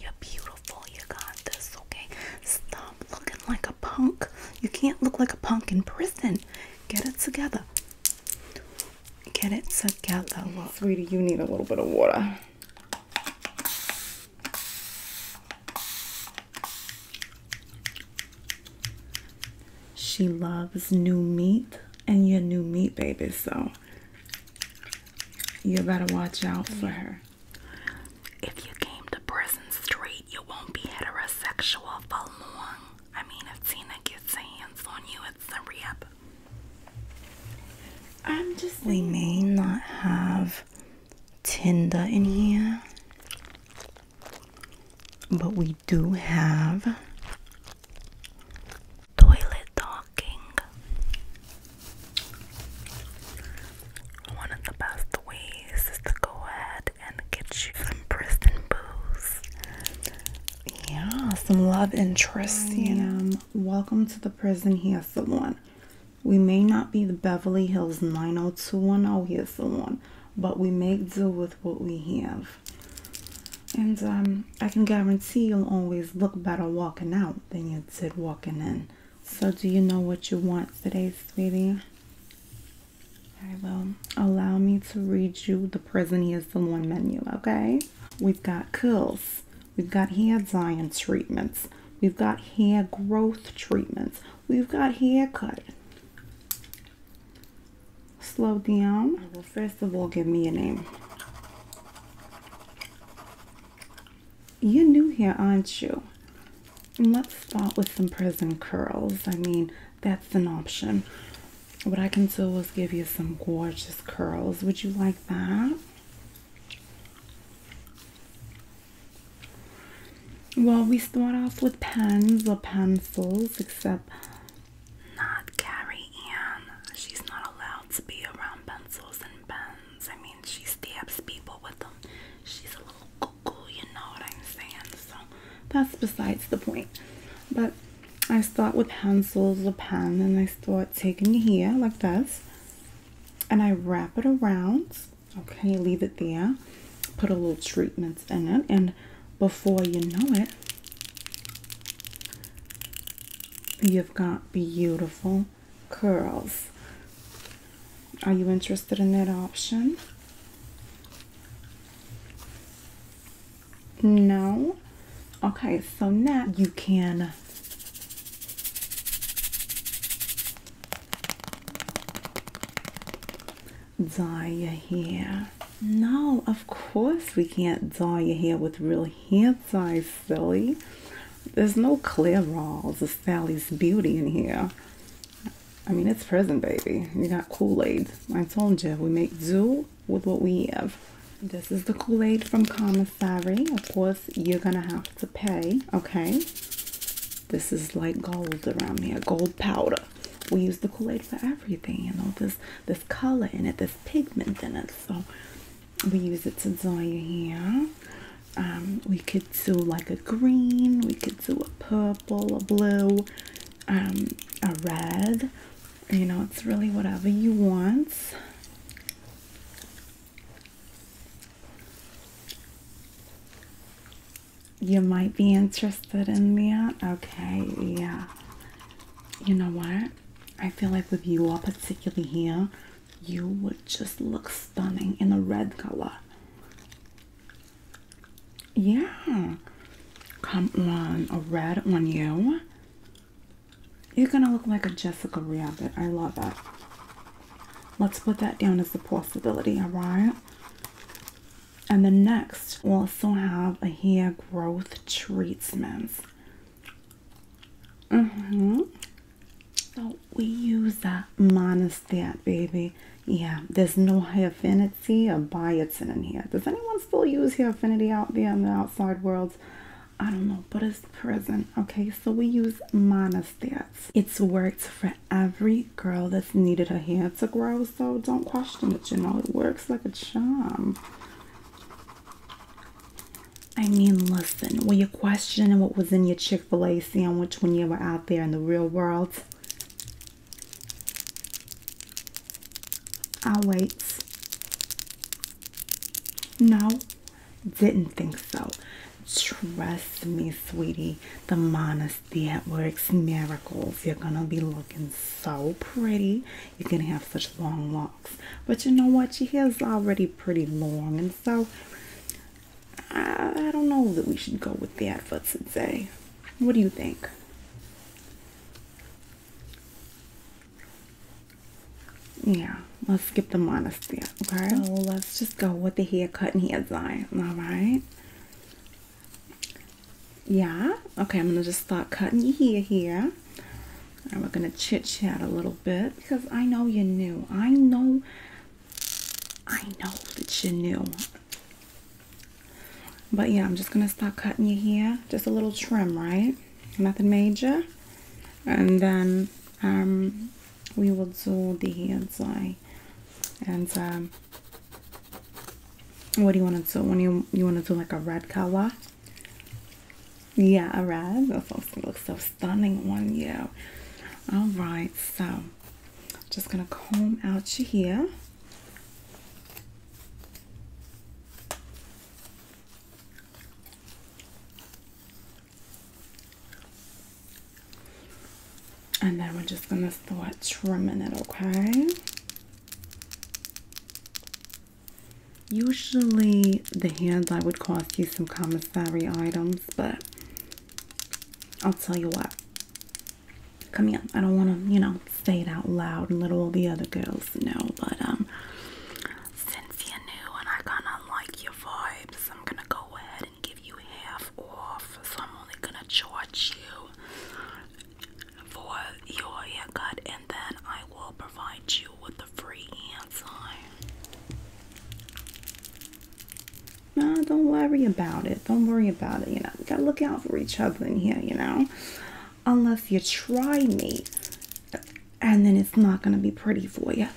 you're beautiful. You got this, okay? Stop looking like a punk. You can't look like a punk in prison. Get it together. Get it together. Look. Rita, you need a little bit of water. She loves new meat and your new meat, baby, so you better watch out for her. If you came to prison straight, you won't be heterosexual for long. I mean, if Tina gets hands on you, it's a rip. I'm just. We may not have Tinder in here, but we do have toilet talking. One of the best ways is to go ahead and get you some prison booze. Yeah, some love interest, you mm. know. Welcome to the prison. Here's the one. We may not be the Beverly Hills 90210, here's the one, but we make do with what we have. And um, I can guarantee you'll always look better walking out than you did walking in. So, do you know what you want today, sweetie? I will. Allow me to read you the present. is the one menu, okay? We've got curls. We've got hair dyeing treatments. We've got hair growth treatments. We've got hair haircut. Slow down. Well, first of all, give me your name. You're new here, aren't you? Let's start with some prison curls. I mean, that's an option. What I can do is give you some gorgeous curls. Would you like that? Well, we start off with pens or pencils, except not Carrie Ann. She's not allowed to be around pencils and pens. I mean she stabs people with them. She's a little cuckoo, you know what I'm saying? So that's besides the point. But I start with pencils, a pen, and I start taking here like this. And I wrap it around. Okay, leave it there. Put a little treatments in it. And before you know it, you've got beautiful curls. Are you interested in that option? No? Okay, so now you can dye your hair. No, of course we can't dye your hair with real hair dye, silly. There's no Clairol's or Sally's Beauty in here. I mean, it's present, baby. You got Kool-Aid. I told you, we make do with what we have. This is the Kool-Aid from Commissary. Of course, you're going to have to pay, okay? This is like gold around here, gold powder. We use the Kool-Aid for everything, you know, this this color in it, this pigment in it. So we use it to dye your hair. Um, we could do like a green, we could do a purple, a blue, um, a red. You know, it's really whatever you want. You might be interested in that. Okay, yeah. You know what? I feel like with you all, particularly here, you would just look stunning in a red color. Yeah, come on, a red on you. You're gonna look like a Jessica Rabbit. I love that. Let's put that down as a possibility, alright? And the next, we'll also have a hair growth treatments. Mm-hmm. So we use a monostat, baby. Yeah, there's no high affinity or biotin in here. Does anyone still use high affinity out there in the outside world? I don't know, but it's present. Okay, so we use monostats. It's worked for every girl that's needed her hair to grow, so don't question it, you know. It works like a charm. I mean, listen, were you questioning what was in your Chick fil A sandwich when you were out there in the real world? I'll wait. No, didn't think so. Trust me, sweetie, the monastery works miracles. You're gonna be looking so pretty. You're gonna have such long locks. But you know what? Your hair's already pretty long, and so I, don't know that we should go with that for today. What do you think? Yeah, let's skip the monastery, okay? So oh, let's just go with the haircut and hair dye, alright? Yeah, okay, I'm gonna just start cutting your hair here. And we're gonna chit chat a little bit because I know you're new. I know I know that you knew. But yeah, I'm just gonna start cutting your hair. Just a little trim, right? Nothing major. And then um, we will do the hair dye. And um, what do you want to do? When you you want to do like a red color? Yeah, a red. That's looks so stunning on you. All right, so just gonna comb out your hair. And then we're just gonna start trimming it, okay? Usually the hands I would cost you some commissary items, but I'll tell you what. Come here. I don't want to, you know, say it out loud and let all the other girls know, but um since you're new and I kinda like your vibes, I'm gonna go ahead and give you half off. So I'm only gonna charge you for your haircut and then I will provide you with a free no, don't worry about it. Don't worry about it. You know, we gotta look out for each other in here, you know? Unless you try me. And then it's not gonna be pretty for you.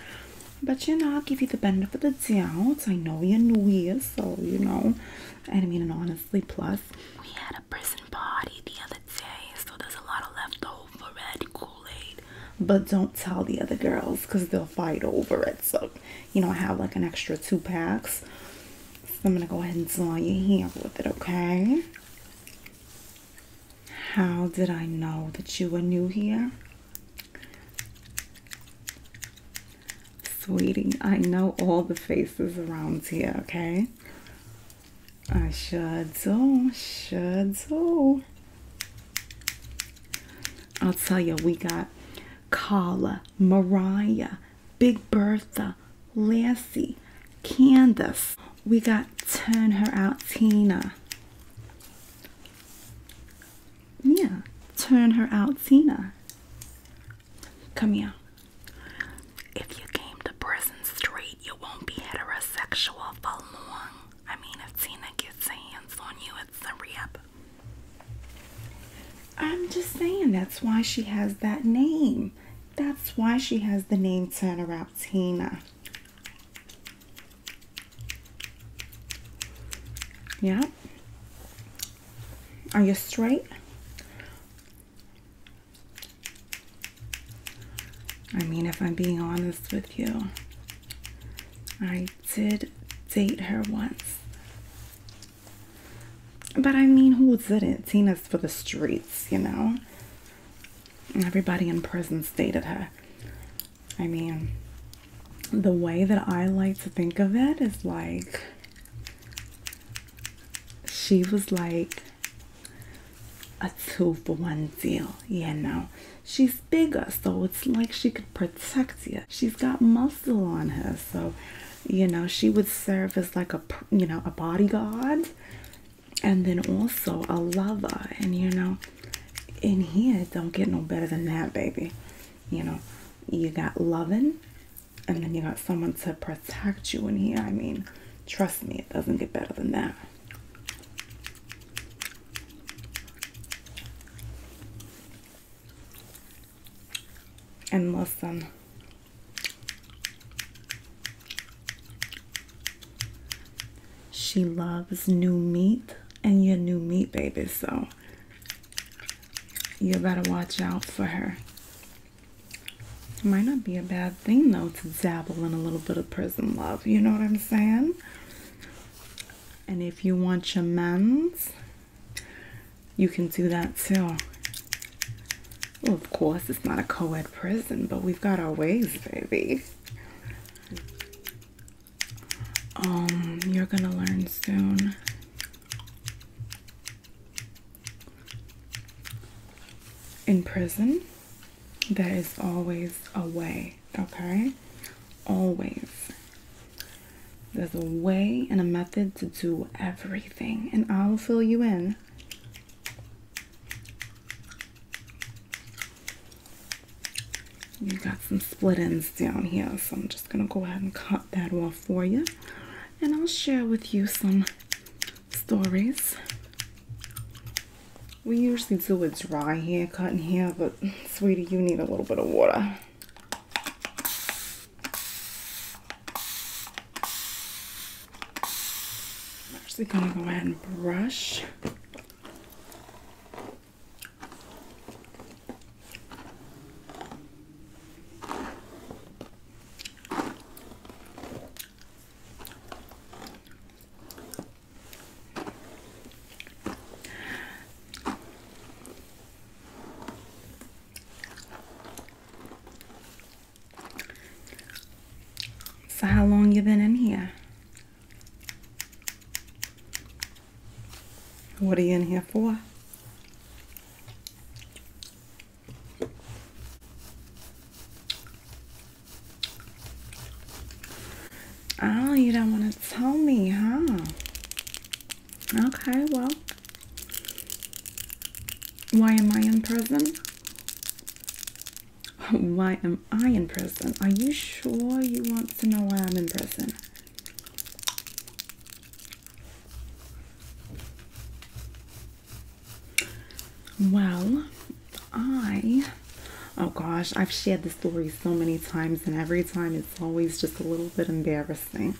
But you know, I'll give you the benefit of the doubt. I know you're new here, so you know. And I mean, and honestly, plus, we had a prison party the other day, so there's a lot of leftover red Kool Aid but don't tell the other girls because they'll fight over it. So, you know, I have like an extra two packs. I'm gonna go ahead and draw your hair with it, okay? How did I know that you were new here? Sweetie, I know all the faces around here, okay? I should do, should do. I'll tell you, we got Kala, Mariah, Big Bertha, Lassie, Candace. We got Turn Her Out Tina. Yeah, Turn Her Out Tina. Come here. If you came to prison straight, you won't be heterosexual for long. I mean, if Tina gets hands on you, that's the I'm just saying that's why she has that name. That's why she has the name Tanaraptina. Yeah. Are you straight? I mean, if I'm being honest with you, I did date her once. But I mean, who didn't? Tina's for the streets, you know? Everybody in prison dated her. I mean, the way that I like to think of it is like she was like a two for one deal, you know? She's bigger, so it's like she could protect you. She's got muscle on her, so you know she would serve as like a you know a bodyguard, and then also a lover. And you know, in here don't get no better than that, baby. You know, you got loving, and then you got someone to protect you in here. I mean, trust me, it doesn't get better than that and listen, She loves new meat and your new meat, baby, so you better watch out for her. It might not be a bad thing, though, to dabble in a little bit of prison love. You know what I'm saying? and if you want your shamans you can do that too of course it's not a co-ed prison but we've got our ways baby um you're gonna learn soon in prison there is always a way okay always there's a way and a method to do everything, and I'll fill you in. You got some split ends down here, so I'm just gonna go ahead and cut that off for you, and I'll share with you some stories. We usually do a dry haircut in here, but sweetie, you need a little bit of water. actually gonna go ahead and brush. So how long you been in here? What are you in here for? Oh, you don't want to tell me, huh? Okay, well. Why am I in prison? Why am I in prison? Are you sure you want to know why I'm in prison? Well, I. Oh gosh, I've shared this story so many times, and every time it's always just a little bit embarrassing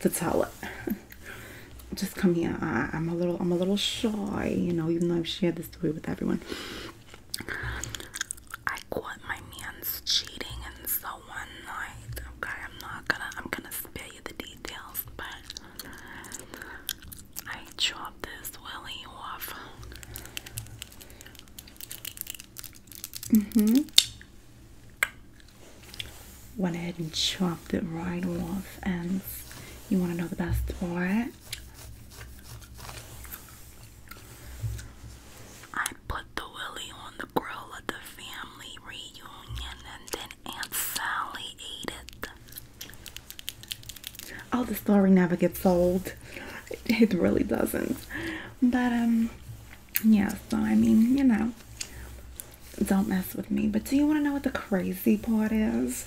to tell it. just come here. I, am a little, I'm a little shy, you know. Even though I've shared the story with everyone, I caught my man's cheating, and so one night, okay, I'm not gonna, I'm gonna spare you the details, but I chopped this willy off. Mm-hmm. Went ahead and chopped it right off and you wanna know the best part? I put the willy on the grill at the family reunion and then Aunt Sally ate it. Oh, the story never gets old. It really doesn't. But um yeah, so I mean, you know, don't mess with me. But do you want to know what the crazy part is?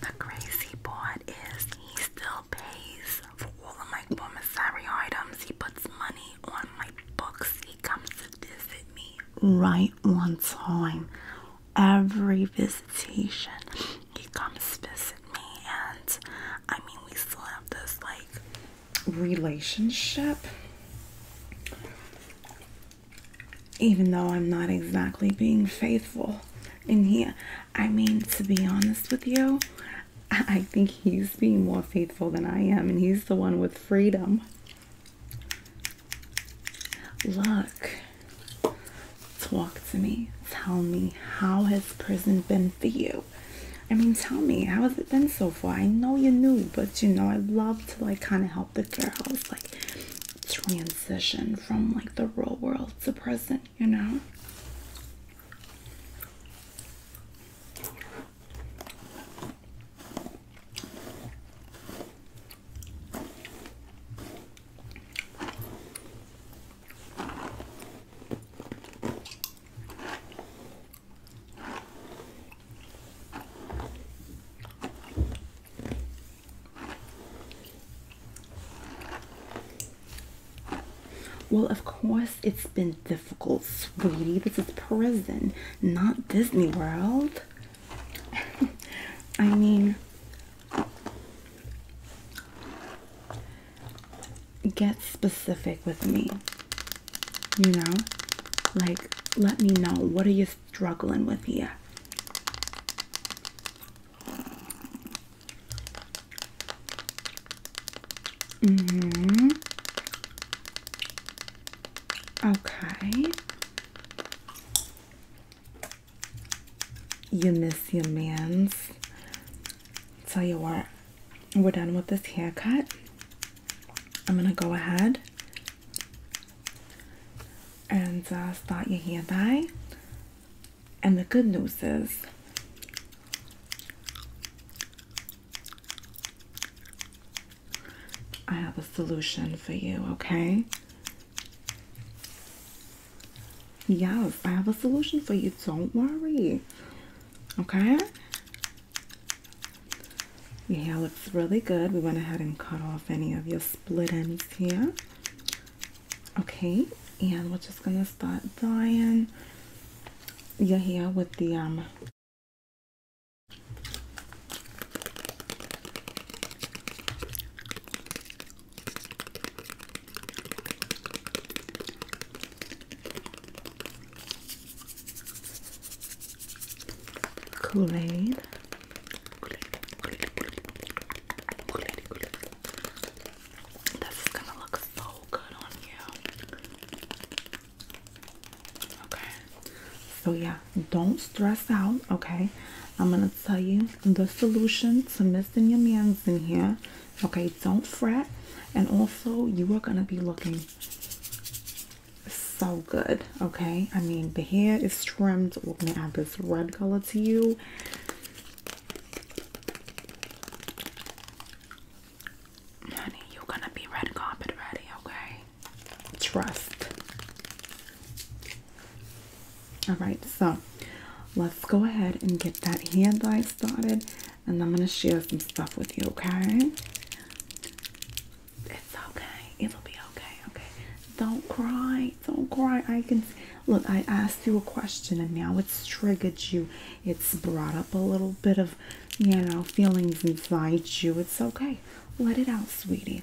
The crazy part is he still pays for all of my commissary items. He puts money on my books. He comes to visit me right on time. Every visitation, he comes visit and I mean, we still have this like relationship, even though I'm not exactly being faithful. in he, I mean, to be honest with you, I think he's being more faithful than I am, and he's the one with freedom. Look, Talk to me. Tell me, how has prison been for you? I mean, tell me, how has it been so far? I know you're new, but you know, I love to like kind of help the girls like transition from like the real world to prison, you know? Well, of course, it's been difficult, sweetie. This is prison, not Disney World. I mean, get specific with me. You know? Like, let me know what are you struggling with here? Mm-hmm. Okay. You miss your man's. Tell you what, we're done with this haircut. I'm gonna go ahead and uh, start your hair dye. And the good news is, I have a solution for you, okay? Yes, I have a solution for you. Don't worry. Okay? Your hair looks really good. We went ahead and cut off any of your split ends here. Okay, and we're just gonna start dyeing your hair with the um Kool-Aid. This gonna look so good on you. Okay. So yeah, don't stress out, okay? I'm gonna tell you the solution to missing your man's in here Okay, don't fret. And also, you are going to be looking so good. Okay, I mean, the hair is trimmed. We're going to add this red color to you. you're going to be red carpet ready. Okay, trust. All right, so let's go ahead and get that hand dye started and I'm going to share some stuff with you, okay? It's okay. It'll be okay, okay? Don't cry. Don't cry. I can... Look, I asked you a question and now it's triggered you. It's brought up a little bit of, you know, feelings inside you. It's okay. Let it out, sweetie.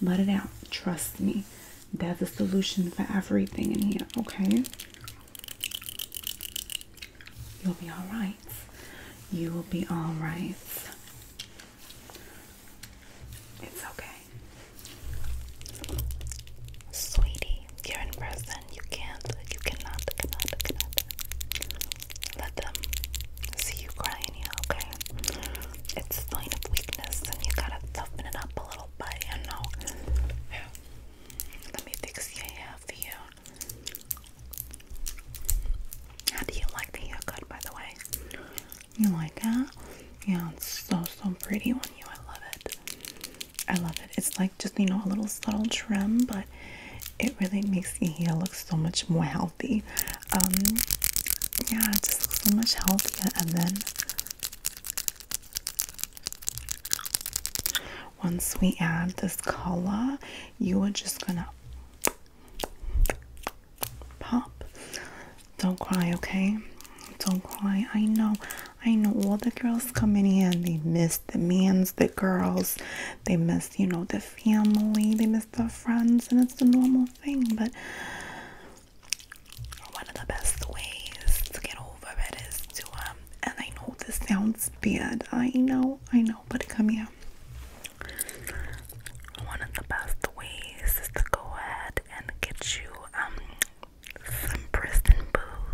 Let it out. Trust me. There's a solution for everything in here, okay? You'll be all right. You will be all right. It's okay. Sweetie, you're in prison. You can't, you cannot, cannot, cannot let them see you crying here, okay? It's sign of weakness and you gotta toughen it up a little bit, you know? Yeah. Let me fix your hair for you. How do you like the haircut, by the way? You like it? Yeah, it's so, so pretty on you. I love it. I love it. It's like just, you know, a little subtle trim, but it really makes the hair look so much more healthy. Um, yeah, it just looks so much healthier. And then once we add this color, you are just gonna pop. Don't cry, okay? Don't cry. I know, I know all the girls coming in, they miss the mans, the girls, they miss, you know, the family, they miss the friends, and it's the normal thing, but one of the best ways to get over where it is to um and I know this sounds bad. I know, I know, but come here. One of the best ways is to go ahead and get you um some prison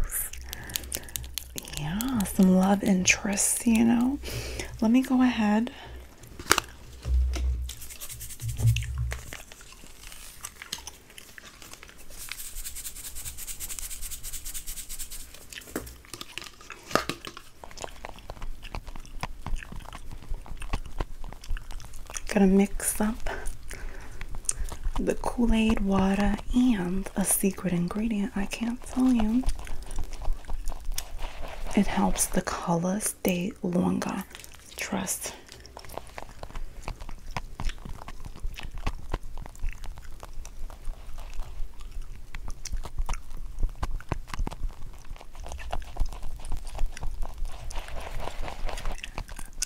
booze. Yeah, some love interests, you know. Let me go ahead. Gonna mix up the Kool-Aid water and a secret ingredient I can't tell you. It helps the color stay longer. Trust.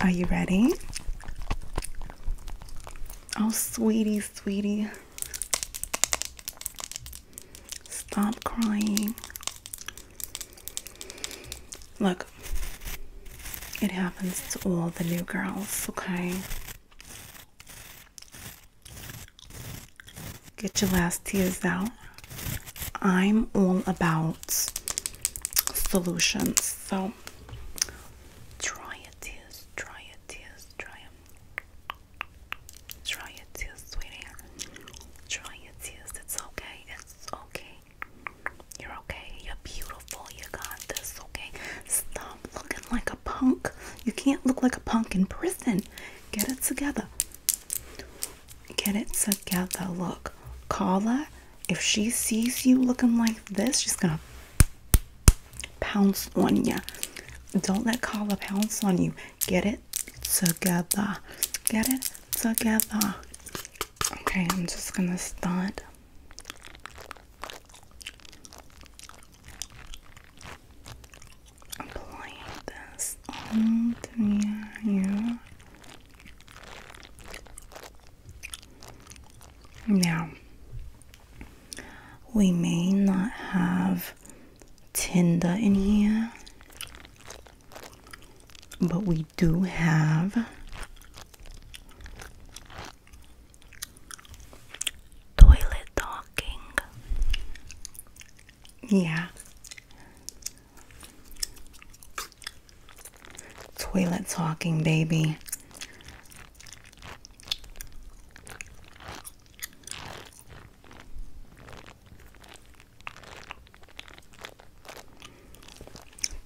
Are you ready? Oh, sweetie, sweetie. Stop crying. Look, it happens to all the new girls, okay? Get your last tears out. I'm all about solutions, so dry your tears, dry your tears, dry them. Dry your tears, sweetie. Dry your tears. It's okay. It's okay. You're okay. You're beautiful. You got this, okay? Stop looking like a punk. You can't look like a punk in prison. Get it together. Get it together. Look, Carla, if she sees you looking like this, she's gonna pounce on you. Don't let Carla pounce on you. Get it together. Get it together. Okay, I'm just gonna start Applying this on the Now, we may not have Tinder in here, but we do have Toilet talking. Yeah. Toilet talking, baby.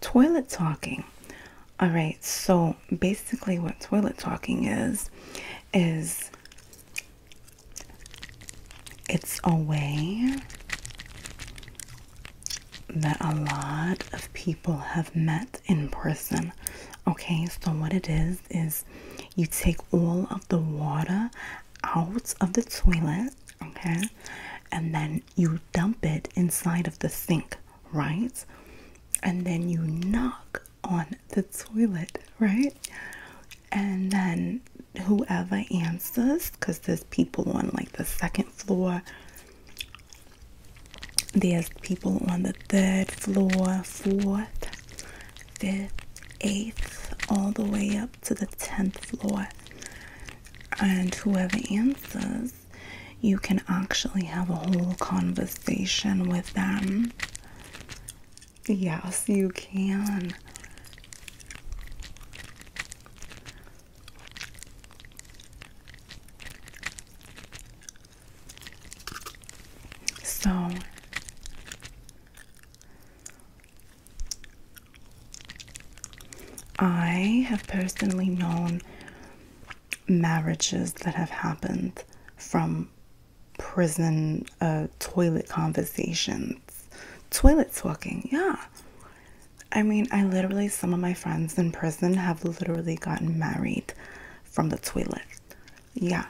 Toilet talking. All right, so basically, what toilet talking is, is it's a way that a lot of people have met in person. Okay, so what it is, is you take all of the water out of the toilet, okay, and then you dump it inside of the sink right? And then you knock on the toilet, right? And then whoever answers, because there's people on like the second floor, there's people on the third floor, fourth, fifth, eighth, all the way up to the tenth floor. And whoever answers, you can actually have a whole conversation with them. Yes, you can. So I have personally known marriages that have happened from prison uh, toilet conversations, toilet talking. Yeah. I mean, I literally, some of my friends in prison have literally gotten married from the toilet. Yeah.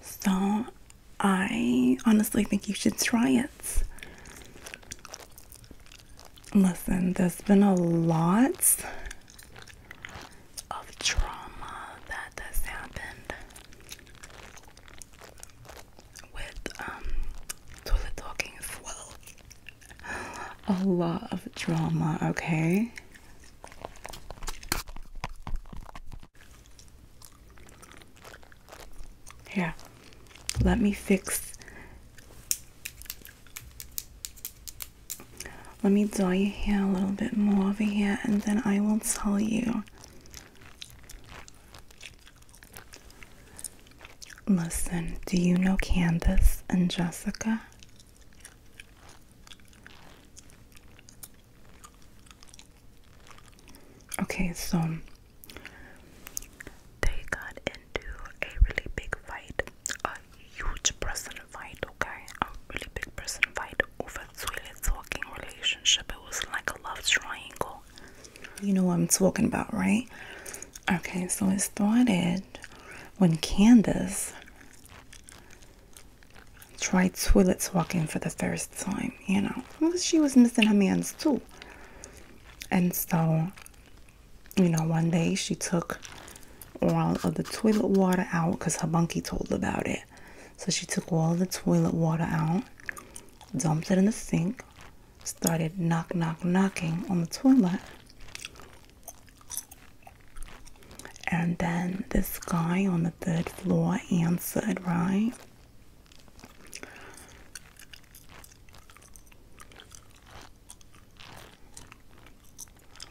So I honestly think you should try it. Listen, there's been a lot of trauma that has happened with um toilet talking as well. a lot of drama, okay? Here, let me fix. Let me dye your hair a little bit more over here, and then I will tell you. Listen, do you know Candace and Jessica? Okay, so they got into a really big fight, a huge person fight, okay? A really big person fight over toilet talking relationship. It was like a love triangle. You know what I'm talking about, right? Okay, so it started when Candace Tried toilets walking for the first time, you know. Well, she was missing her man's too. And so, you know, one day she took all of the toilet water out because her bunkie told about it. So she took all the toilet water out, dumped it in the sink, started knock, knock, knocking on the toilet. And then this guy on the third floor answered, right?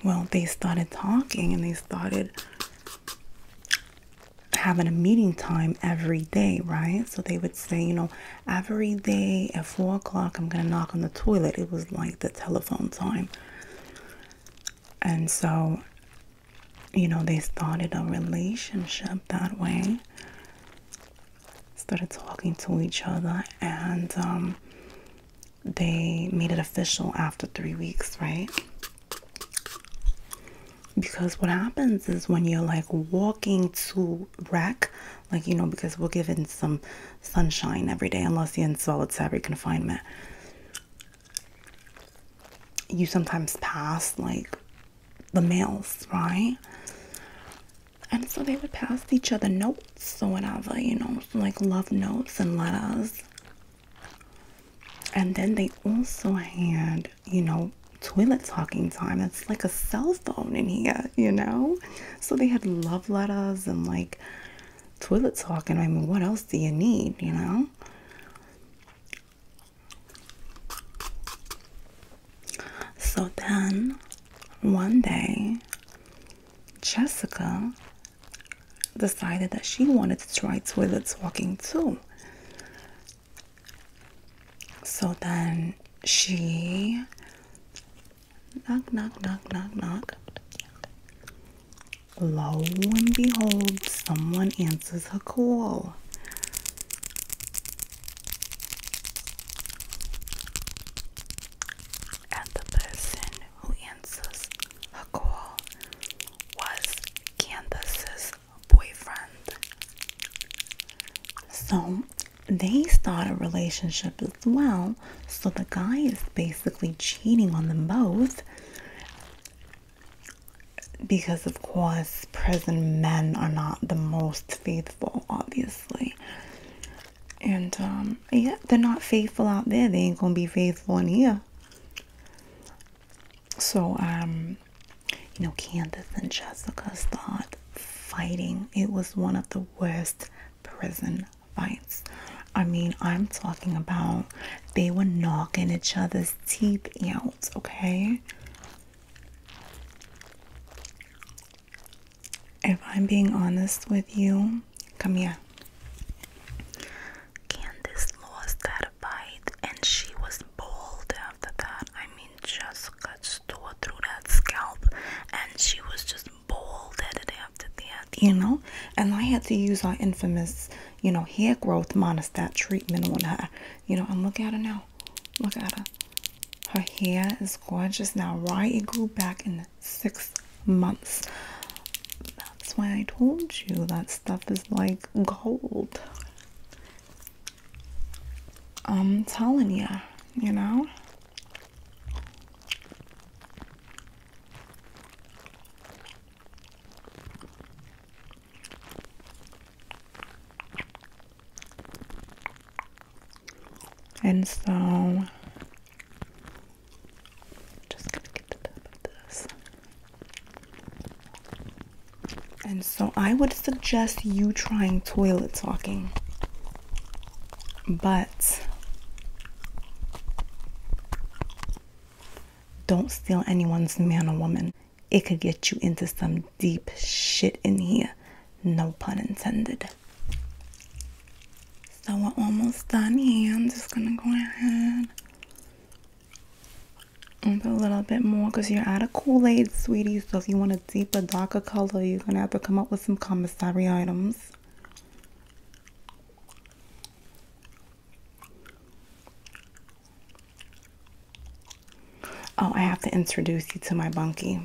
Well, they started talking and they started having a meeting time every day, right? So they would say, you know, every day at four o'clock, I'm gonna knock on the toilet. It was like the telephone time. And so, you know, they started a relationship that way. Started talking to each other, and um, they made it official after three weeks, right? Because what happens is when you're like walking to wreck, like you know, because we're given some sunshine every day unless you're in solid, solitary confinement. You sometimes pass like the males, right? And so they would pass each other notes or whatever, you know, like love notes and letters. And then they also had, you know, toilet talking time. It's like a cell phone in here, you know? So they had love letters and like toilet talk, and I mean, what else do you need, you know? So then one day, Jessica decided that she wanted to try toilet talking too. So then she Knock, knock, knock, knock, knock. Lo and behold, someone answers her call. And the person who answers her call was Candace's boyfriend. So they start a relationship well. So the guy is basically cheating on them both. Because, of course, prison men are not the most faithful, obviously. And, um, yeah, they're not faithful out there. They ain't gonna be faithful in here. So, um, you know, Candace and Jessica start fighting. It was one of the worst prison fights. I mean, I'm talking about they were knocking each other's teeth out, okay? If I'm being honest with you, come here. lost that fight and she was bold after that. I mean, Jessica tore through that scalp and she was just bold headed after you know. And I had to use our infamous, you know, hair growth monostat treatment on her, you know. I'm looking at her now, look at her. Her hair is gorgeous now, Why It grew back in six months. That's why I told you that stuff is like gold. I'm telling you, you know. And so i just gonna get the top And so I would suggest you trying toilet talking. But don't steal anyone's man or woman. It could get you into some deep shit in here. No pun intended. So we're almost done here. I'm just gonna go ahead and put a little bit more because you're out of Kool-Aid, sweetie. So if you want a deeper, darker color, you're gonna have to come up with some commissary items. Oh, I have to introduce you to my bunkie.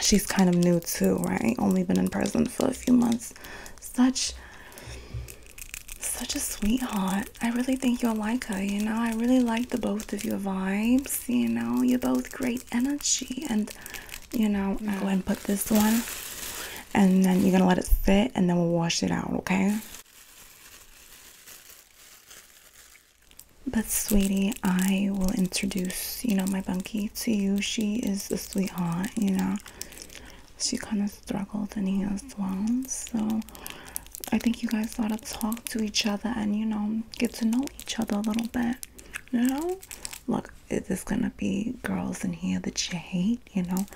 She's kind of new too, right? Only been in prison for a few months. Such such a sweetheart. I really think you'll like her, you know. I really like the both of your vibes, you know. You're both great energy and you know, I'm gonna go uh, and put this one and then you're gonna let it sit and then we'll wash it out, okay? But sweetie, I will introduce, you know, my bunkie to you. She is a sweetheart, you know. She kind of struggled in here as well. So I think you guys ought to talk to each other and, you know, get to know each other a little bit. You know? Look, this gonna be girls in here that you hate you know.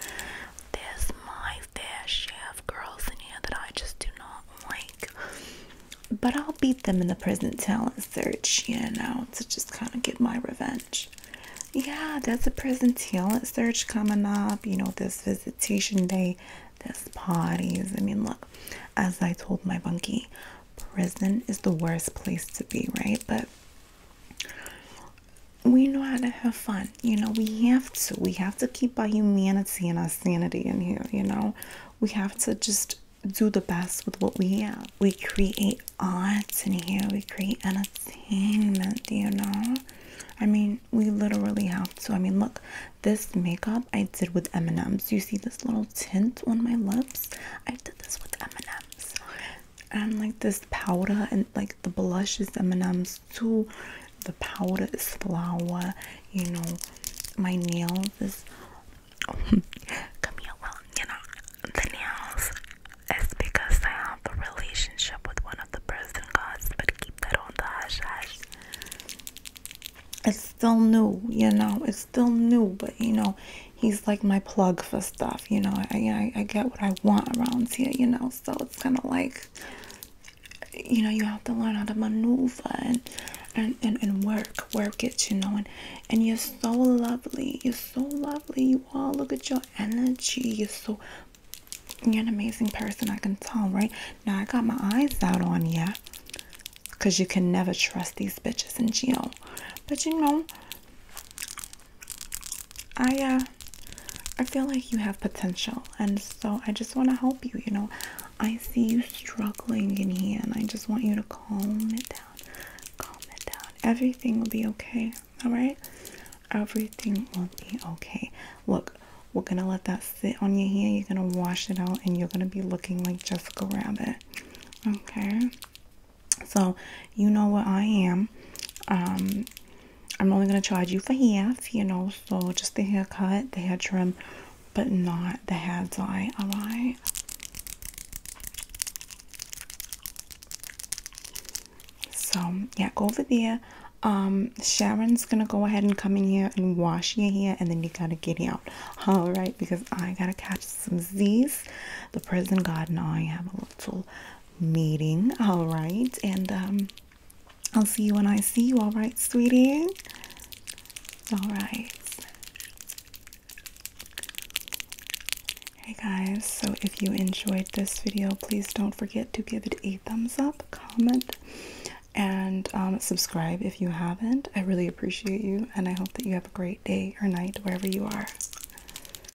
There's my fair share of girls in here that I just do not like. But I'll beat them in the prison talent search, you know, to just kind of get my revenge. Yeah, that's a prison talent search coming up. You know, this visitation day, there's parties. I mean, look, as I told my bunkie, prison is the worst place to be, right? But we know how to have fun. You know, we have to. We have to keep our humanity and our sanity in here, you know. We have to just do the best with what we have. We create art in here. We create entertainment, you know. I mean, we literally have So I mean, look, this makeup I did with M&M's. You see this little tint on my lips? I did this with M&M's and like this powder and like the blush is M&M's too the powder is flour you know my nails is come here well you know the nails is because I have a relationship with one of the person gods but keep that on the it's still new you know it's still new but you know he's like my plug for stuff, you know. I, I, get what I want around here, you know. So it's kind of like, you know, you have to learn how to maneuver and and, and, and work, work it, you know. And, and you're so lovely. You're so lovely. You all look at your energy. You're so, you're an amazing person. I can tell, right? Now, I got my eyes out on you. Because you can never trust these bitches in jail. But you know, I uh I feel like you have potential and so I just want to help you, you know. I see you struggling in here and I just want you to calm it down. Calm it down. Everything will be okay. All right? Everything will be okay. Look, we're going to let that sit on your hair. You're going to wash it out and you're going to be looking like Jessica Rabbit. Okay? So you know what I am. Um, I'm only gonna charge you for half, you know, so just the haircut, the hair trim, but not the hair dye, alright? So yeah, go over there. Um, Sharon's gonna go ahead and come in here and wash your hair, and then you gotta get out, all right? Because I gotta catch some Z's. The prison garden I have a little meeting. All right. And um, I'll see you when I see you. All right, sweetie. All right. Hey guys, so if you enjoyed this video, please don't forget to give it a thumbs up, comment, and um, subscribe if you haven't. I really appreciate you, and I hope that you have a great day or night wherever you are.